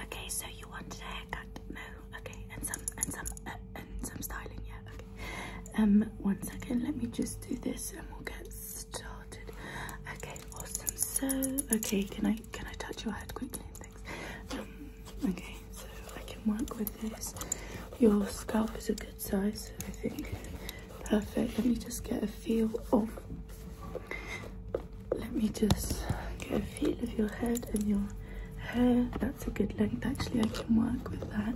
Okay, so you wanted a haircut? No. Okay, and some and some uh, and some styling, yeah. Okay. Um, one second. Let me just do this, and we'll get started. Okay, awesome. So, okay, can I can I touch your head quickly? Thanks. Um, okay, so I can work with this. Your scalp is a good size, I think. Perfect. Let me just get a feel of let me just get a feel of your head and your hair. That's a good length actually, I can work with that.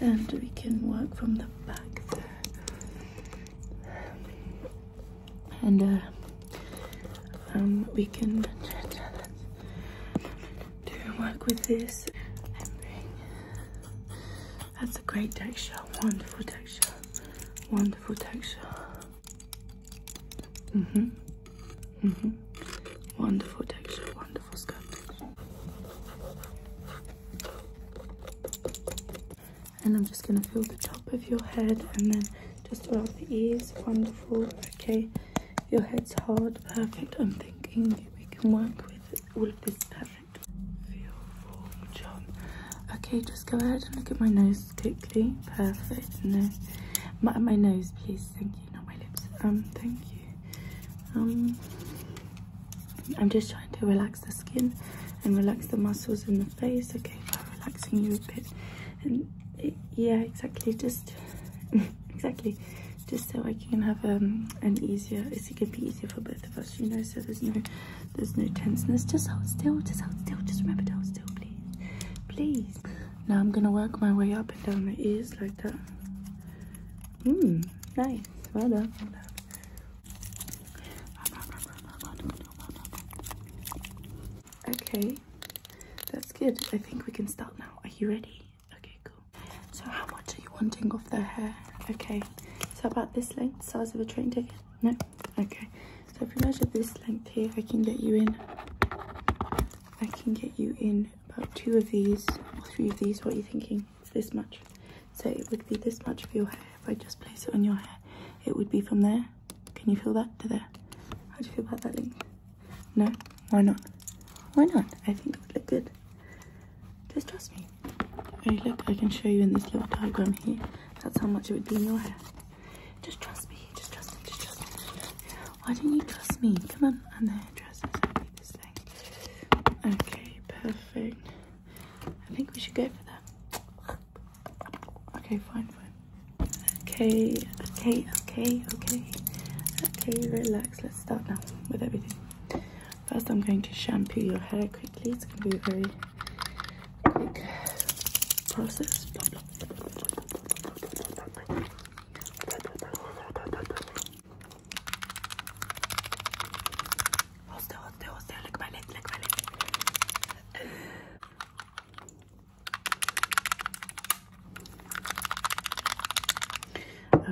And we can work from the back there. And uh, um, we can do work with this That's a great texture, wonderful texture, wonderful texture hmm hmm Wonderful texture, wonderful scalp And I'm just gonna feel the top of your head and then just around the ears. Wonderful. Okay. Your head's hard, perfect. I'm thinking we can work with all of this perfect. Feel John. Okay, just go ahead and look at my nose. Quickly, perfect. No, my, nose, please. Thank you. Not my lips. Um, thank you. Um, I'm just trying to relax the skin and relax the muscles in the face. Okay, by relaxing you a bit. And yeah, exactly. Just exactly. Just so I can have um an easier. It's it could be easier for both of us, you know. So there's no there's no tenseness. Just hold still, just hold still. Just remember to hold still, please. Please. Now I'm gonna work my way up and down the ears like that. Mmm, nice. Well done. Okay, that's good. I think we can start now. Are you ready? Okay, cool. So how much are you wanting off their hair? Okay, so about this length, size of a train ticket. No? Okay. So if we measure this length here, I can get you in, I can get you in about two of these or three of these. What are you thinking? It's this much. So it would be this much for your hair. If I just place it on your hair, it would be from there. Can you feel that to there? How do you feel about that length? No? Why not? Why not? I think it would look good. Just trust me. look, I can show you in this little diagram here. That's how much it would be in your hair. Just trust me, just trust me, just trust me. Why don't you trust me? Come on, and the hairdresser's only this thing. Okay, perfect. I think we should go for that. Okay, fine, fine. Okay, okay, okay, okay. Okay, relax. Let's start now with everything. First, I'm going to shampoo your hair quickly. It's going to be very quick process. Hold still, hold still, hold still. Lick my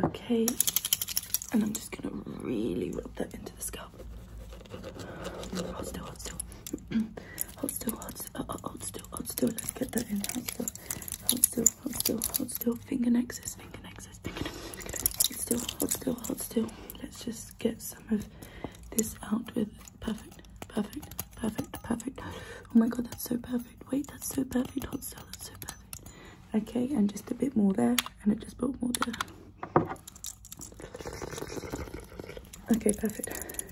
Okay, and I'm just gonna really rub that into the skin go. Hold still, hold still. hold still, hold still, uh, uh, hold still, hold still. Let's get that in. Hold still, hold still, hold still, hold still. Finger nexus, finger nexus, finger nexus. Hold still, hold still, hold still. Let's just get some of this out with perfect, perfect, perfect, perfect. Oh my god, that's so perfect. Wait, that's so perfect. Hold still, that's so perfect. Okay, and just a bit more there, and I just put more there. Okay, perfect.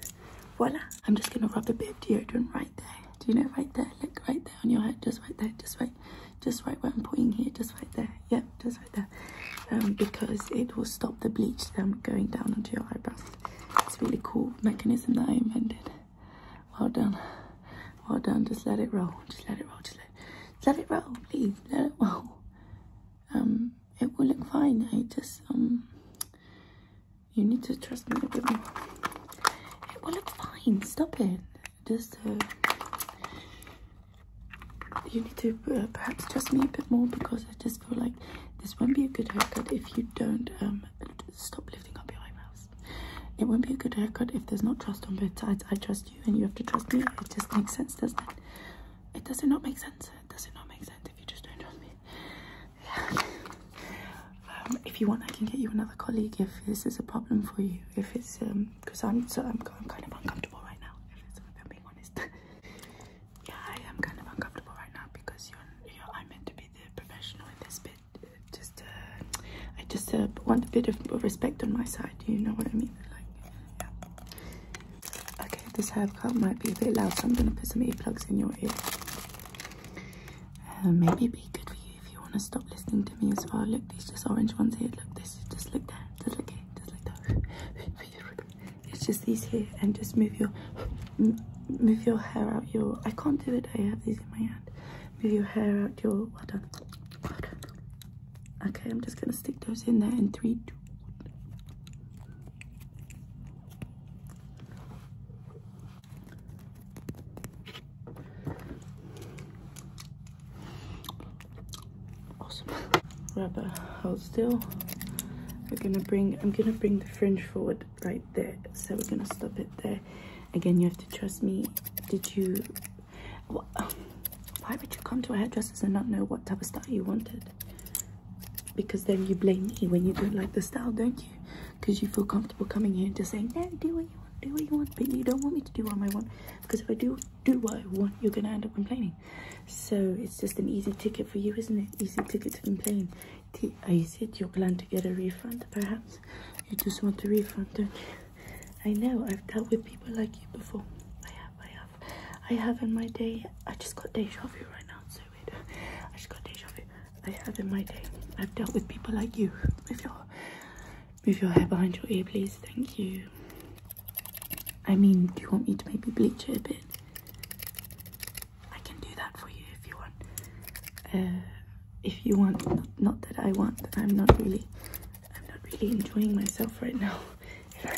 Voila. I'm just gonna rub a bit of deodorant right there. Do you know right there? Look right there on your head, just right there, just right, just right where I'm pointing here, just right there. Yep, yeah, just right there. Um, because it will stop the bleach um, going down onto your eyebrows. It's really cool mechanism that I invented. Well done. Well done. Just let it roll. Just let it roll. Just let, just let it roll, please. Let it roll um, it will look fine. I just, um, you need to trust me a bit more. It will look fine. Stop it. Just, uh, you need to uh, perhaps trust me a bit more because I just feel like this won't be a good haircut if you don't um, stop lifting up your eyebrows. It won't be a good haircut if there's not trust on both sides. I trust you and you have to trust me. It just makes sense, doesn't it? It does not make sense? Does it not make sense if you just don't trust me? Yeah. Um, if you want, I can get you another colleague if this is a problem for you. If it's um, because I'm so I'm, I'm kind of uncomfortable right now. If, if I'm honest. yeah, I am kind of uncomfortable right now because you're, I'm meant to be the professional in this bit. just uh, I just uh, want a bit of respect on my side. Do You know what I mean? Like, Okay, this haircut might be a bit loud, so I'm going to put some earplugs in your ear. Uh, maybe it'd be good for you if you want to stop listening to me as well. Look, these just orange ones here. Look, this just look there. Just look here. Just look there. it's just these here, and just move your move your hair out your. I can't do it. I have these in my hand. Move your hair out your. Well done. Well done. Okay, I'm just gonna stick those in there in three, two, Awesome. Rubber, hold still. We're gonna bring, I'm gonna bring the fringe forward right there. So we're gonna stop it there. Again, you have to trust me. Did you why would you come to a hairdresser's and not know what type of style you wanted? Because then you blame me when you don't like the style, don't you? Because you feel comfortable coming in to say no, do what you want, do what you want, but you don't want me to do what I want. Because if I do do what I want, you're going to end up complaining. So it's just an easy ticket for you, isn't it? Easy ticket to complain. I Is it are plan to get a refund, perhaps? You just want a refund, don't you? I know I've dealt with people like you before. I have, I have, I have in my day. I just got deja vu right now. So weird. I just got deja vu. I have in my day. I've dealt with people like you. Move your, move your hair behind your ear, please. Thank you. I mean, do you want me to maybe bleach it a bit? I can do that for you if you want. Uh, if you want, not that I want. I'm not really I'm not really enjoying myself right now,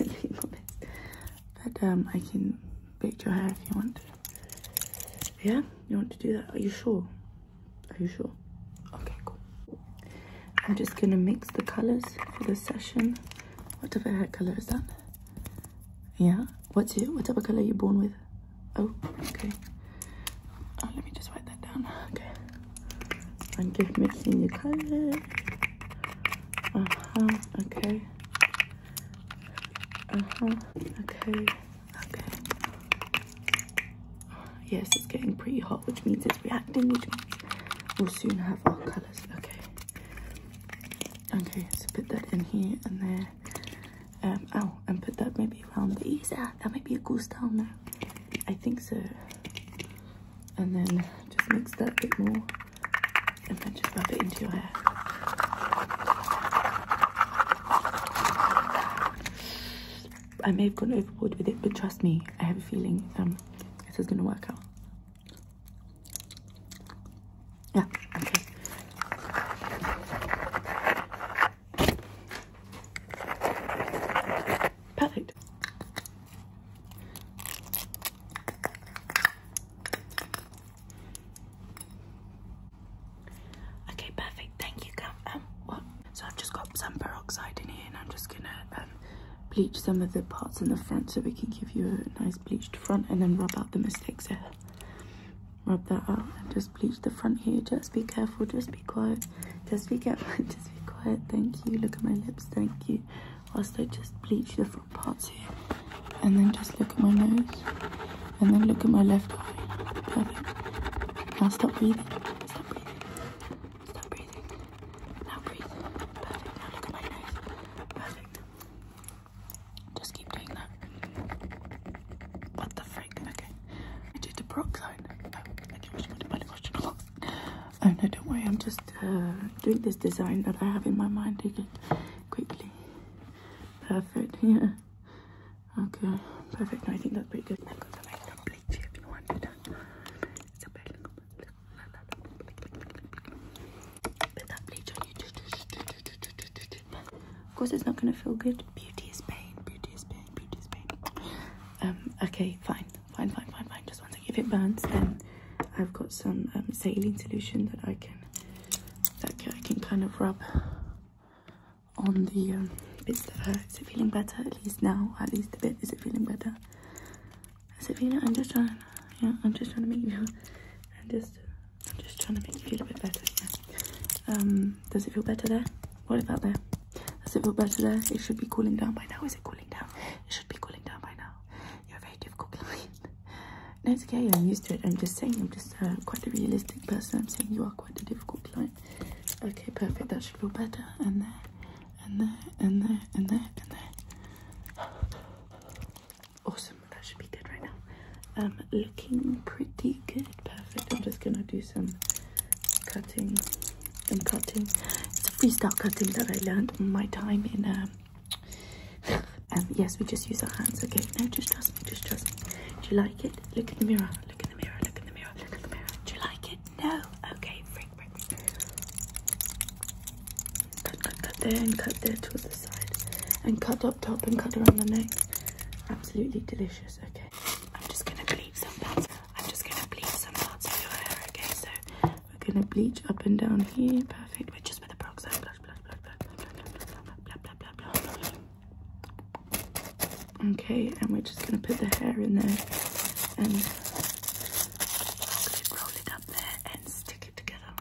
But um, I can bake your hair if you want. Yeah, you want to do that? Are you sure? Are you sure? Okay, cool. I'm just gonna mix the colors for the session. What type of hair color is that? Yeah. What's your What type of color you are born with? Oh, okay. Oh, let me just wipe that down. Okay. I'm just mixing the colors. Uh-huh, okay. Uh-huh, okay, okay. Yes, it's getting pretty hot, which means it's reacting, which means we'll soon have our colors, okay. Okay, so put that in here and there. Um, oh, and put that maybe around these. ears. Ah, that might be a cool style now. I think so. And then just mix that a bit more and then just rub it into your hair. I may have gone overboard with it, but trust me, I have a feeling um, this is going to work out. Yeah, okay. Perfect. Okay, perfect. Thank you, Gav. Um, so I've just got some peroxide in here, and I'm just gonna um, bleach some of the parts on the front so we can give you a nice bleached front, and then rub out the mistakes there. Rub that out and just bleach reach the front here. Just be careful. Just be quiet. Just be careful. Just be quiet. Thank you. Look at my lips. Thank you. Whilst I just bleach the front parts here. And then just look at my nose. And then look at my left eye. Perfect. Now stop breathing. Stop breathing. Stop breathing. Now breathe. Perfect. Now look at my nose. Perfect. Just keep doing that. What the Okay. I did the peroxide. Oh, a funny question. Oh no, don't worry. I'm just uh, doing this design that I have in my mind again. Quickly. Perfect. Yeah. Okay. Perfect. No, I think that's pretty good. Of course, it's not going to feel good Beauty is pain. Beauty is pain. Beauty is pain. Um. Okay. Fine. Fine. Fine. Fine. Fine. Just one second. If it burns, then I've got some um, saline solution that I can that I can kind of rub on the um, bits that hurt. Is it feeling better? At least now. At least a bit. Is it feeling better? Is it feeling? I'm just trying. Yeah. I'm just trying to make you. I'm just. I'm just trying to make you feel a bit better. Um does it feel better there? What about there? Does it feel better there? It should be cooling down by now. Is it cooling down? It should be cooling down by now. You're a very difficult client. no, okay. I'm used to it. I'm just saying. I'm just uh, quite a realistic person. I'm saying you are quite a difficult client. Okay, perfect. That should feel better. And there, and there, and there, and there, and there. Awesome. That should be good right now. Um, looking pretty good. Perfect. I'm just gonna do some cutting and cutting. It's a freestyle cutting that I learned in my time in um, um, yes we just use our hands okay no just trust me just trust me do you like it look in the mirror look in the mirror look in the mirror look in the mirror do you like it no okay break break cut cut cut there and cut there towards the side and cut up top and cut around the neck absolutely delicious okay I'm just gonna bleach some parts. I'm just gonna bleach some parts of your hair, okay? So we're gonna bleach up and down here. Perfect. We're just with the peroxide blush, blush, blush, Okay, and we're just gonna put the hair in there and roll it up there and stick it together.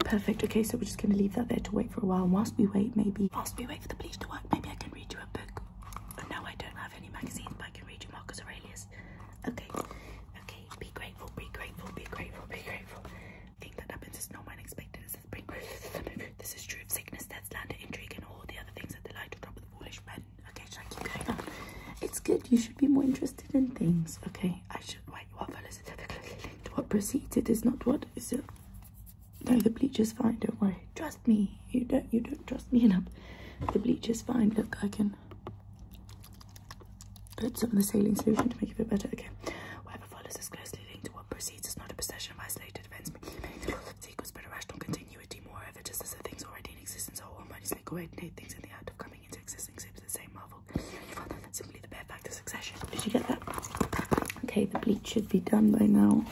Perfect. Okay, so we're just going to leave that there to wait for a while. And whilst we wait, maybe, whilst we wait for the bleach to work, maybe I can read you a book. Oh, no, I don't have any magazines, but I can read you Marcus Aurelius. Okay, okay, be grateful, be grateful, be grateful, be grateful. The that happens is not unexpected. This is true of sickness, death, slander, intrigue, and all the other things that delight to drop the foolish men. Okay, so I keep going on? It's good. You should be more interested in things. Okay, I should right, you are fellas intimately linked. What precedes it is not what is it. Uh, no, the bleach is fine. Don't worry. Trust me. You don't. You don't trust me enough. The bleach is fine. Look, I can put some of the saline solution to make it a bit better. Okay. Whatever follows is closely linked to what precedes. It's not a possession of isolated events, meaning the but a rational continuity. Moreover, just as the things already in existence are harmoniously coordinate things in the act of coming into the same level. Simply the bare fact of succession. Did you get that? Okay, the bleach should be done by now.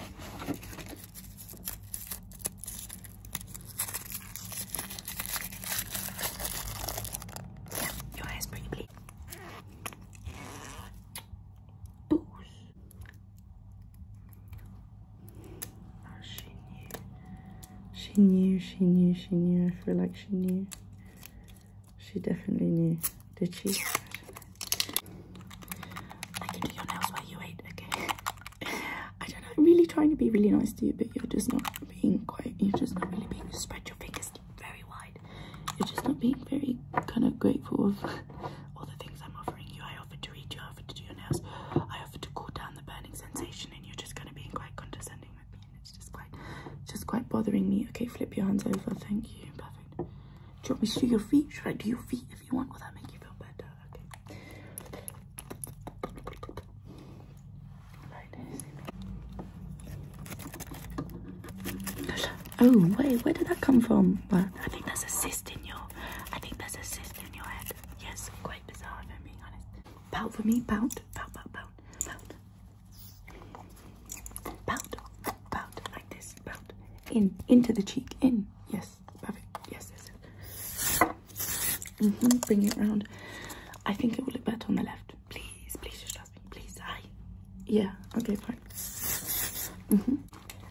your hair's pretty bleak. Boosh. she knew. She knew, she knew, she knew. I feel like she knew. She definitely knew. Did she? I can do your nails while you wait, okay? I don't know, I'm really trying to be really nice to you, but you're just not being quite, you're just not really being, you spread your fingers very wide. You're just not being very kind of grateful of all the things I'm offering you. I offered to read you, I offered to do your nails, I offered to cool down the burning sensation, and you're just kind of being quite condescending with me it's just quite just quite bothering me okay flip your hands over thank you perfect do you want me to do your feet should i do your feet if you want will that make you feel better okay oh wait where did that come from well, i think there's a cyst in your i think that's a cyst in your head yes quite bizarre if i being honest pout for me pout pout pout pout Pout, pout, like this, pout. In, into the cheek, in. Yes, perfect. Yes, yes, yes. Mm-hmm, bring it around. I think it will look better on the left. Please, please just trust me. Please, I. Yeah, okay, fine. Mm-hmm.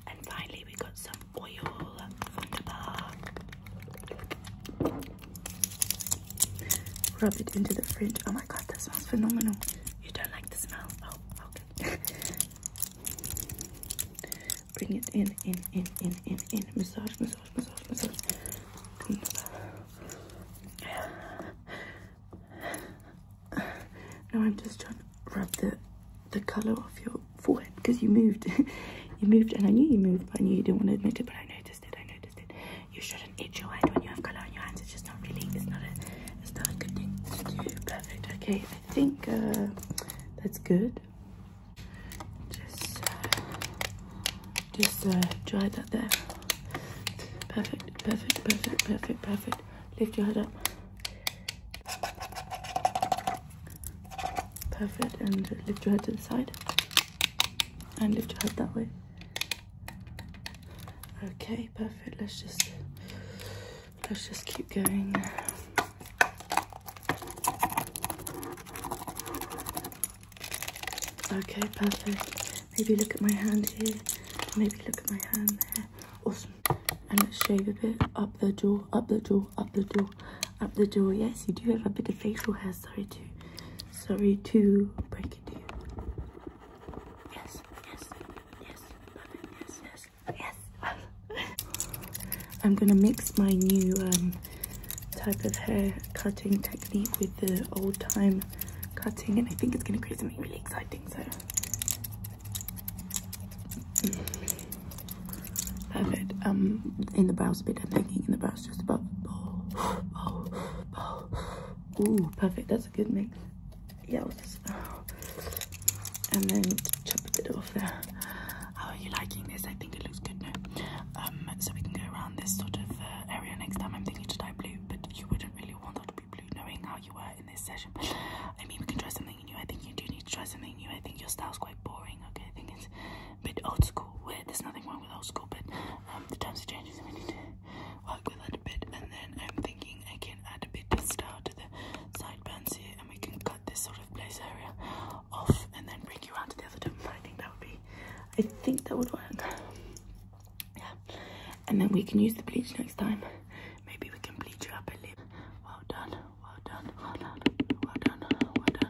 And finally, we got some oil Rub it into the fridge. Oh my god, that smells phenomenal. You don't like the smell? Oh, okay. Bring it in, in, in, in, in, in. Massage, massage, massage, massage. Now I'm just trying to rub the the color off your forehead because you moved. you moved, and I knew you moved, but I knew you didn't want to admit it, but I know I noticed it. You shouldn't eat your hand when you have color on your hands. It's just not really. It's not a. It's not good thing to do. Perfect. Okay. I think uh, that's good. Just, uh, just uh, dry that there. Perfect. Perfect. Perfect. Perfect. Perfect. Lift your head up. Perfect. And lift your head to the side and lift your head that way. Okay, perfect. Let's just let's just keep going. Okay, perfect. Maybe look at my hand here. Maybe look at my hand there. Awesome. And let's shave a bit up the jaw, up the jaw, up the jaw, up the jaw. Yes, you do have a bit of facial hair, sorry too. Sorry to break it to you. Yes, yes, yes, yes, yes, yes. I'm gonna mix my new um, type of hair cutting technique with the old time cutting and I think it's gonna create something really exciting, so. Perfect. Um, in the brows bit, I'm thinking in the brows that's just about bowl, bowl, Ooh, perfect. That's a good mix. Yeah, and then chop a bit off there. How are you liking this? I think it looks good now. Um, so we can go around this sort of uh, area next time. I'm thinking to dye blue, but you wouldn't really want that to be blue, knowing how you were in this session. I mean, we can try something new. I think you do need to try something new. I think your style's quite boring. Okay, I think it's bit old school. Where there's nothing wrong with old school, but um, the times are changing, so we need to work with that a bit. And then I'm thinking I can add a bit of style to the side sideburns here, and we can cut this sort of place area off, and then bring you around to the other top. I think that would be, I think that would work. Yeah, and then we can use the bleach next time. Maybe we can bleach you up a lip. Well done, well done, well done, well done, well done.